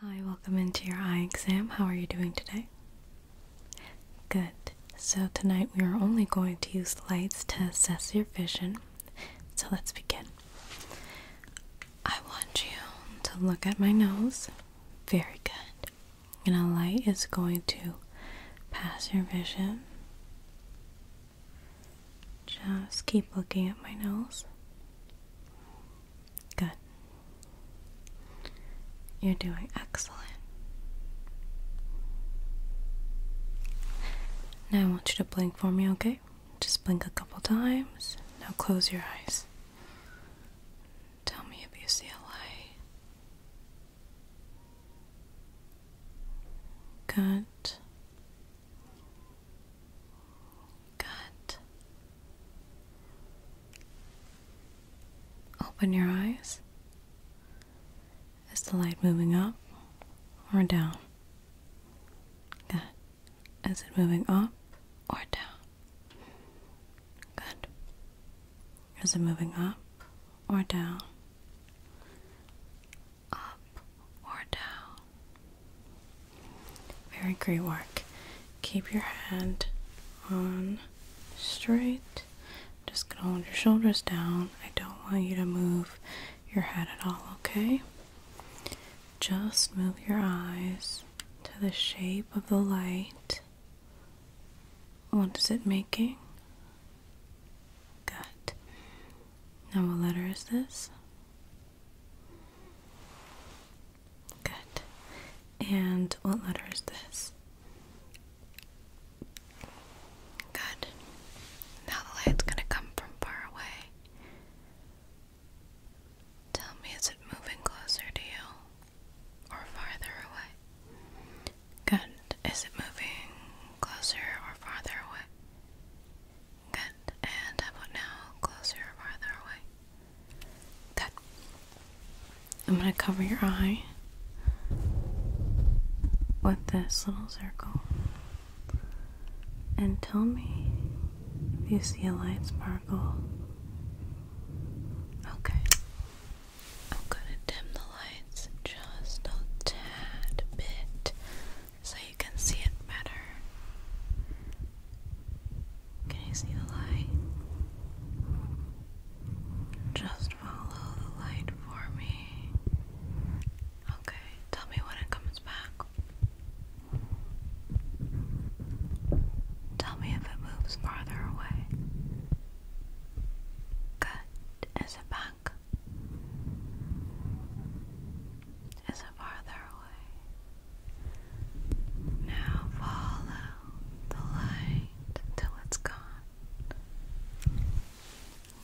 Hi, welcome into your eye exam. How are you doing today? Good. So, tonight we are only going to use lights to assess your vision. So, let's begin. I want you to look at my nose. Very good. And a light is going to pass your vision. Just keep looking at my nose. Good. You're doing excellent. Now I want you to blink for me, okay? Just blink a couple times. Now close your eyes. Tell me if you see a light. Good. Good. Open your eyes. Is the light moving up or down? Good. Is it moving up or down? Good. Is it moving up or down? Up or Very great work. Keep your hand on straight. Just gonna hold your shoulders down. I don't want you to move your head at all, okay? Just move your eyes to the shape of the light. What is it making? Good. Now, what letter is this? Good. And what letter is this? Good. Now the light's gonna come from far away. Tell me, is it moving closer to you or farther away? Good. Is it moving closer or farther away? Good and have now closer or farther away. That. I'm going to cover your eye with this little circle and tell me if you see a light sparkle. Okay. I'm going to dim the lights just a tad bit so you can see it better. Can you see the light? Just follow the light for me. Okay, tell me when it comes back. Tell me if it moves farther away. Good. Is it back? is farther away. Now follow the light till it's gone.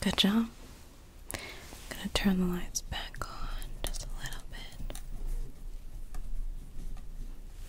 Good job. I'm gonna turn the lights back on just a little bit.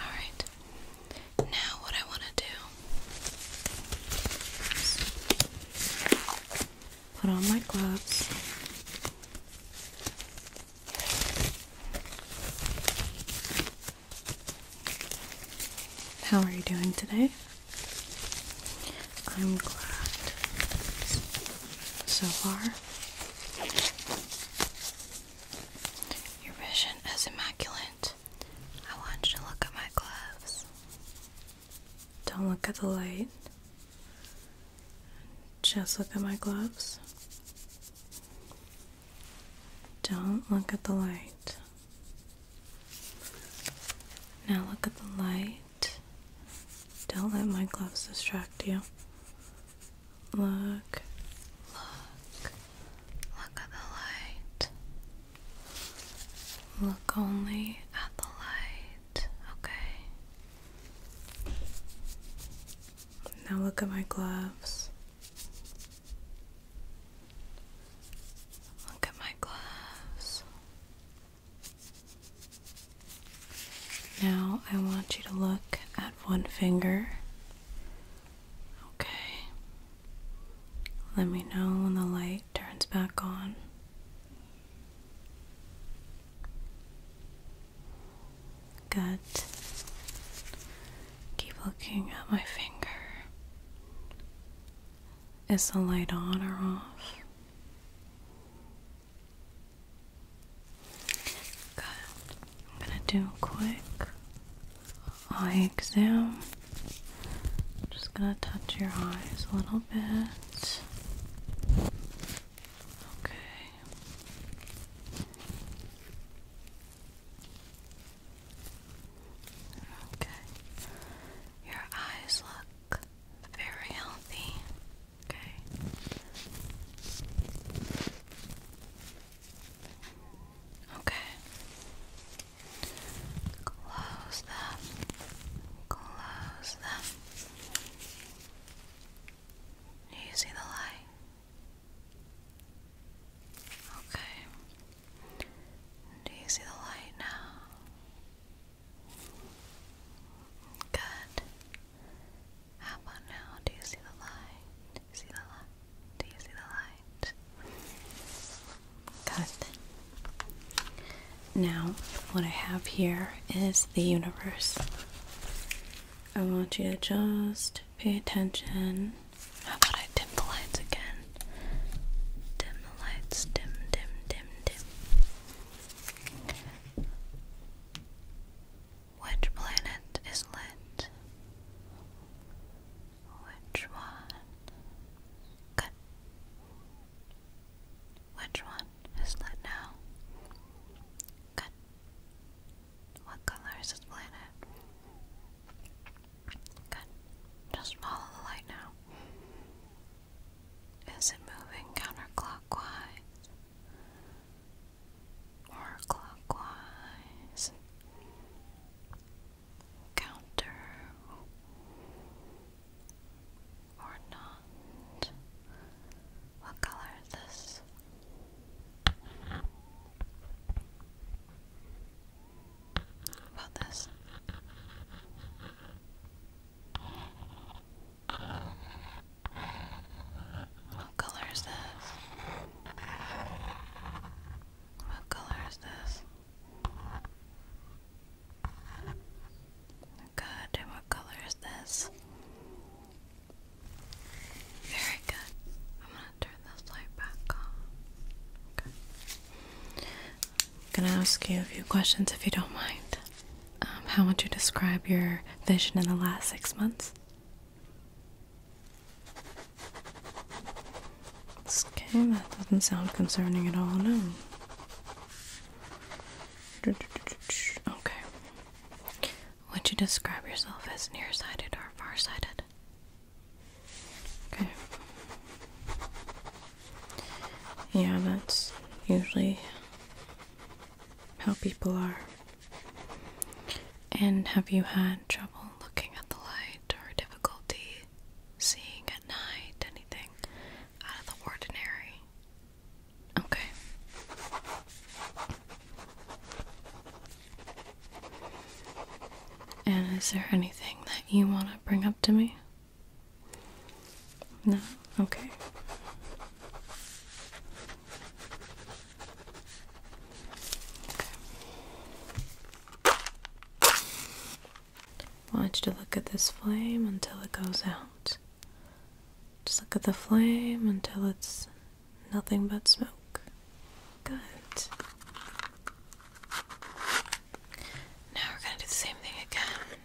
Alright, now what I want to do put on my gloves. How are you doing today? I'm glad so far. Your vision is immaculate. I want you to look at my gloves. Don't look at the light. Just look at my gloves. Don't look at the light. Now look at the light. Don't let my gloves distract you. Look, look, look at the light. Look only at the light, okay? Now look at my gloves. Look at my gloves. Now I want you to look at one finger. Okay. Let me know when the light turns back on. Good. Keep looking at my finger. Is the light on or off? Good. I'm going to do quick eye exam. Just gonna touch your eyes a little bit. Okay. Okay. Your eyes look very healthy. Okay. Okay. Close them. Close them. Do you see the light? Okay. Do you see the light now? Good. How about now? Do you see the light? see the light? Do Now, what I have here is the universe. I want you to just pay attention. How about I dim the lights again? Dim the lights, dim, dim, dim, dim. Which planet is lit? Which one? Good. Which one is that now? Good. What color is this planet? Good. Just follow the light now. Is it moving counterclockwise or clockwise? counter or not. What color is this? About this. What color is this? What color is this? Good, and what color is this? Very good. I'm gonna turn this light back on. Okay. gonna ask you a few questions if you don't mind. Um, how would you describe your vision in the last six months? Okay, that doesn't sound concerning at all, no. Okay. Would you describe yourself as nearsighted or farsighted? Okay. Yeah, that's usually how people are. And have you had trouble looking at the light or difficulty seeing at night? Anything out of the ordinary? Okay. And is there anything that you want to bring up to me? No? Okay. I want you to look at this flame until it goes out. Just look at the flame until it's nothing but smoke. Good. Now we're going to do the same thing again.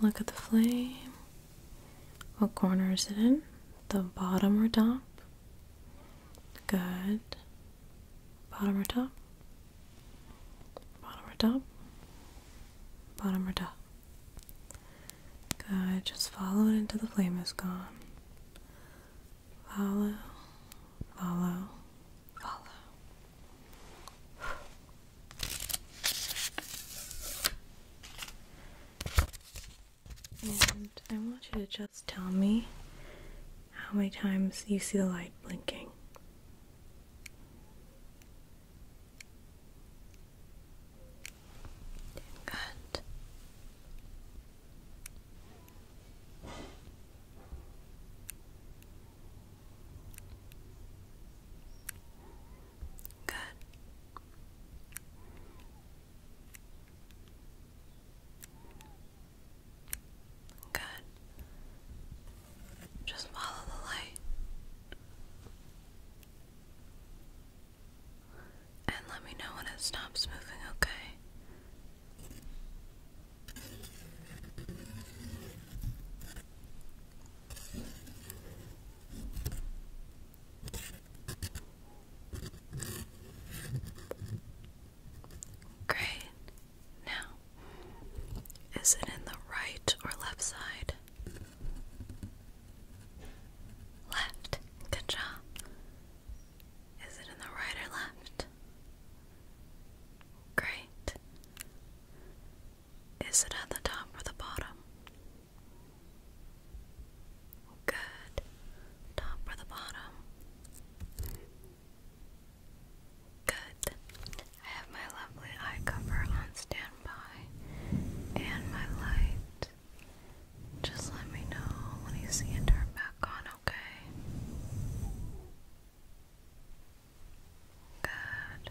Look at the flame. What corner is it in? The bottom or top? Good. Bottom or top? Bottom or top? Bottom or top? Good. Just follow it until the flame is gone. Follow, follow, follow. And I want you to just tell me how many times you see the light blinking. Good. Good. Good. Just follow the light. And let me know when it stops moving, okay? Great. Now, is it in the right or left side? Left. Good job. Is it in the right or left? Great. Is it at the top or the bottom? Good. Top or the bottom? Good. I have my lovely eye cover on standby and my light. Just let me know when you see it turn back back on, okay? Good. Good.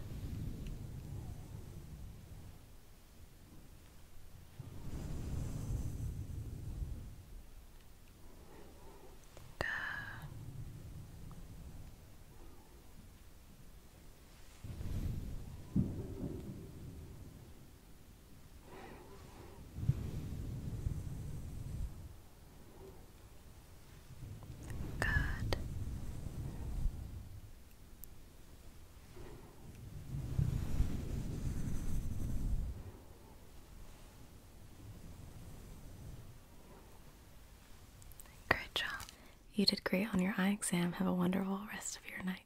Good. Great job. You did great on your eye exam. Have a wonderful rest of your night.